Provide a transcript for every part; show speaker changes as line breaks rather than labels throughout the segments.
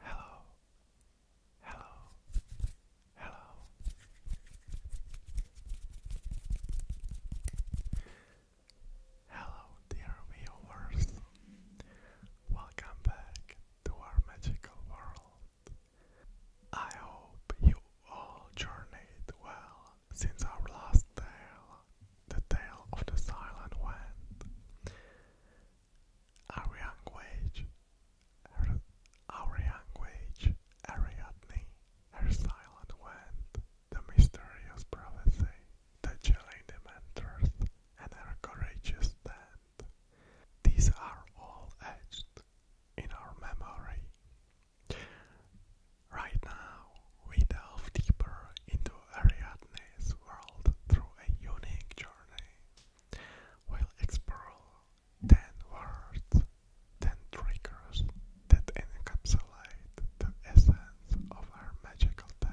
Hello, hello, hello. Hello, dear viewers. Welcome back to our magical world. I hope you all journeyed well since our last tale, the tale of the silent wind. Our young wage, her, our young wage, Ariadne, her silent wind, the mysterious prophecy, the chilling dementors, and her courageous stand. These are all etched in our memory. Right now, we delve deeper into Ariadne's world through a unique journey. while exploring 10 words, 10 triggers that encapsulate the essence of our magical tale.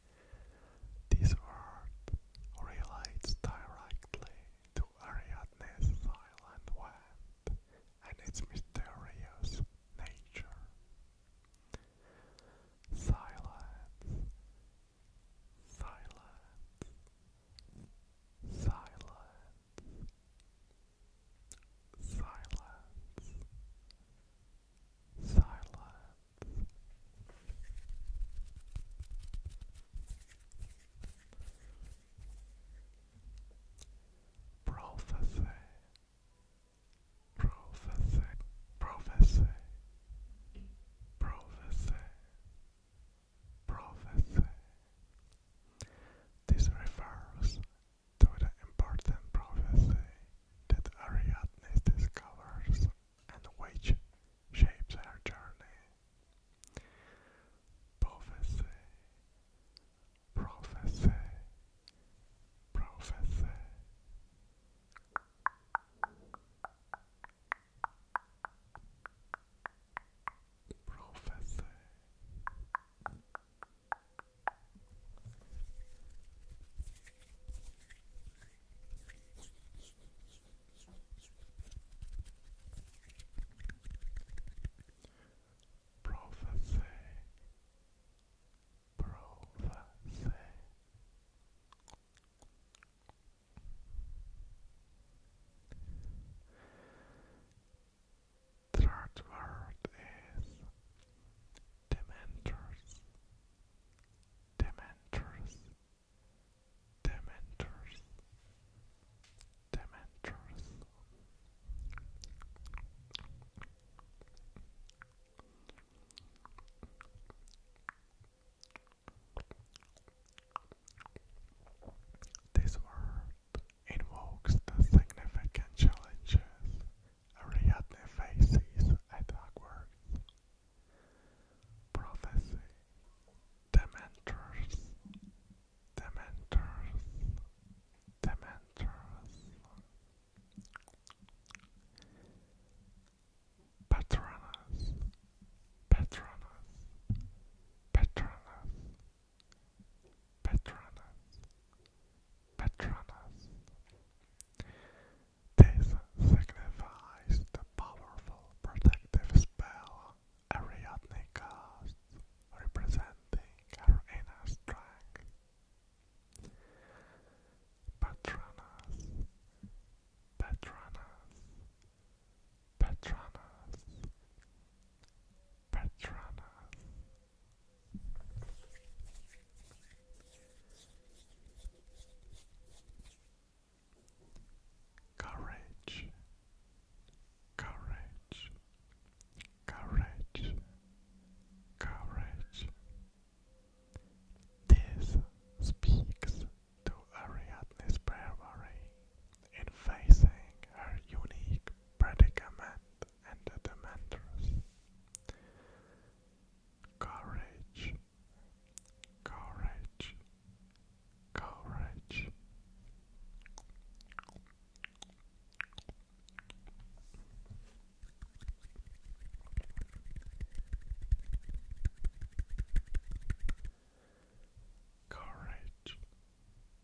This word relates directly to Ariadne's silent wand and its mysterious nature. Silence, silence,
silence, silence, silence. Prophecy, prophecy, prophecy, prophecy, prophecy. This refers to the important prophecy that Ariadne discovers and which shapes her journey. Prophecy, prophecy third word is Dementors. Dementors. Dementors. Dementors. This word invokes the significant challenges Ariadne faces at Hogwarts. Prophecy Dementors Dementors Dementors Patronus Patronus Patronus Patronus Patronus. This signifies the powerful protective spell Ariadne casts, representing her inner strength. Patronus, Patronus, Patronus, Patronus, Courage, courage, courage, courage. This speaks to Ariadne's bravery in facing her unique predicament and adventurous. Courage, courage, courage. Courage,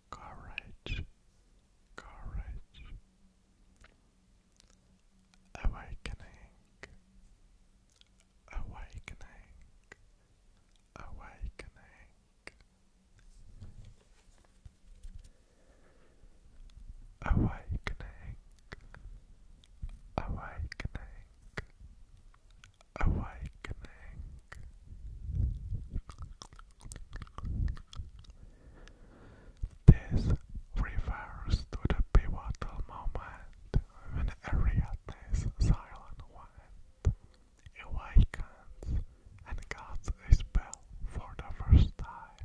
courage, courage, awakening, awakening, awakening. Awakening, awakening, awakening, this refers to the pivotal moment when Ariadne's silent wind awakens and casts a spell for the first time.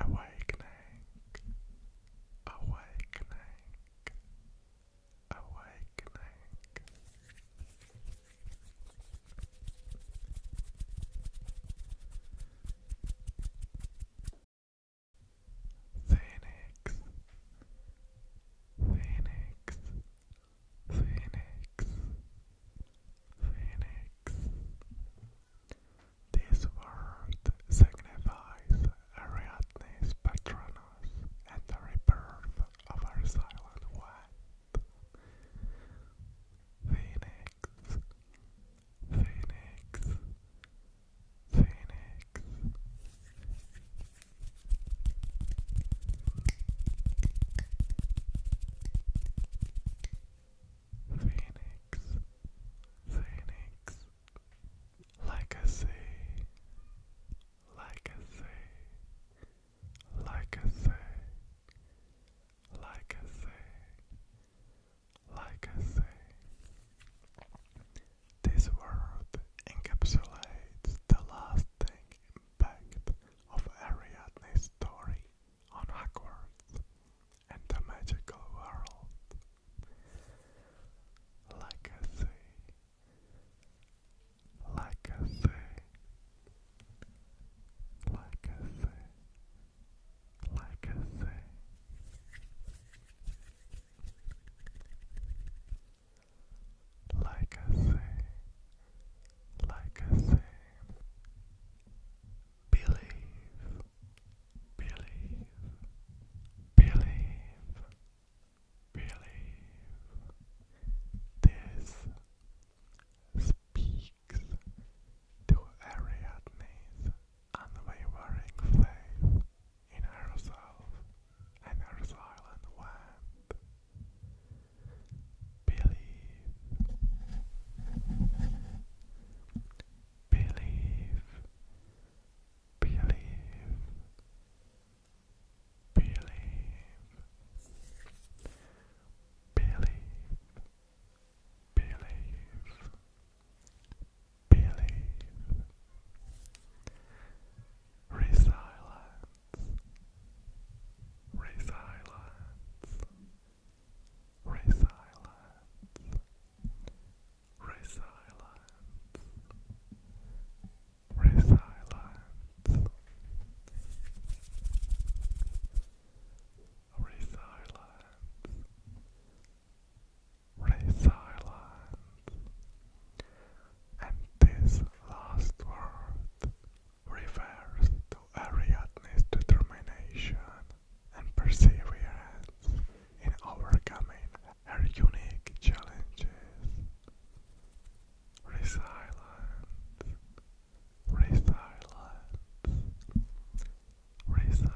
Awakening, awakening, awakening. Phoenix, Phoenix, Phoenix, Phoenix. This word signifies a real Atnis Patronus and the rebirth of our silent one. Phoenix, Phoenix, Phoenix. Phoenix, Phoenix, like I say, like I This word encapsulates the lasting impact of Ariadne's story on Hogwarts and the magical world. Like I say, like I say, like I say, like I say. Like I say, like I say, believe, Believe, believe, believe. This speaks to Ariadne's unwavering faith in herself and her silent wand. Believe, believe. Believe. Believe. Believe. Believe. Believe. Resilience. Resilience. Resilience. Resilience. Resilience. Resilience. Resilience. And this last word refers to Ariadne's determination and perseverance in overcoming our unique challenges. Resilience, resilience, resilience,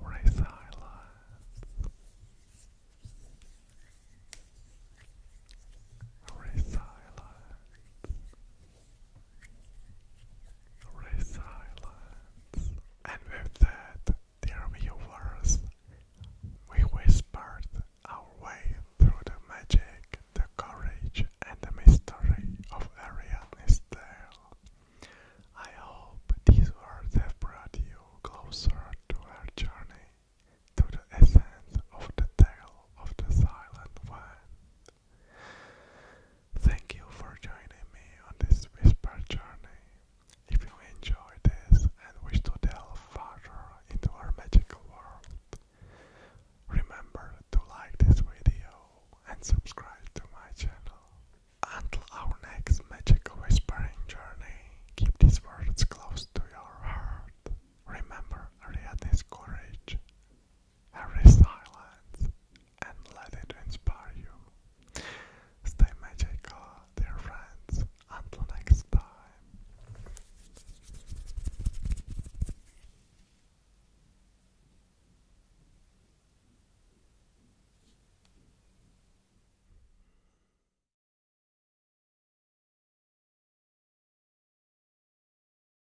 resilience. Resilience, silence, And with that, dear viewers, we whispered our way through the magic, the courage, and the mystery of Ariadne's tale. I hope these words have brought you closer to our journey, to the essence of the tale of the Silent One. Thank you for joining me on this whisper journey. If you enjoy this and wish to delve further into our magical world, remember to like this video and subscribe to my channel. Until our next magical whispering journey, keep these words close to your heart. Remember Ariadne's courage every silence and let it inspire you. Stay magical, dear friends. Until next time.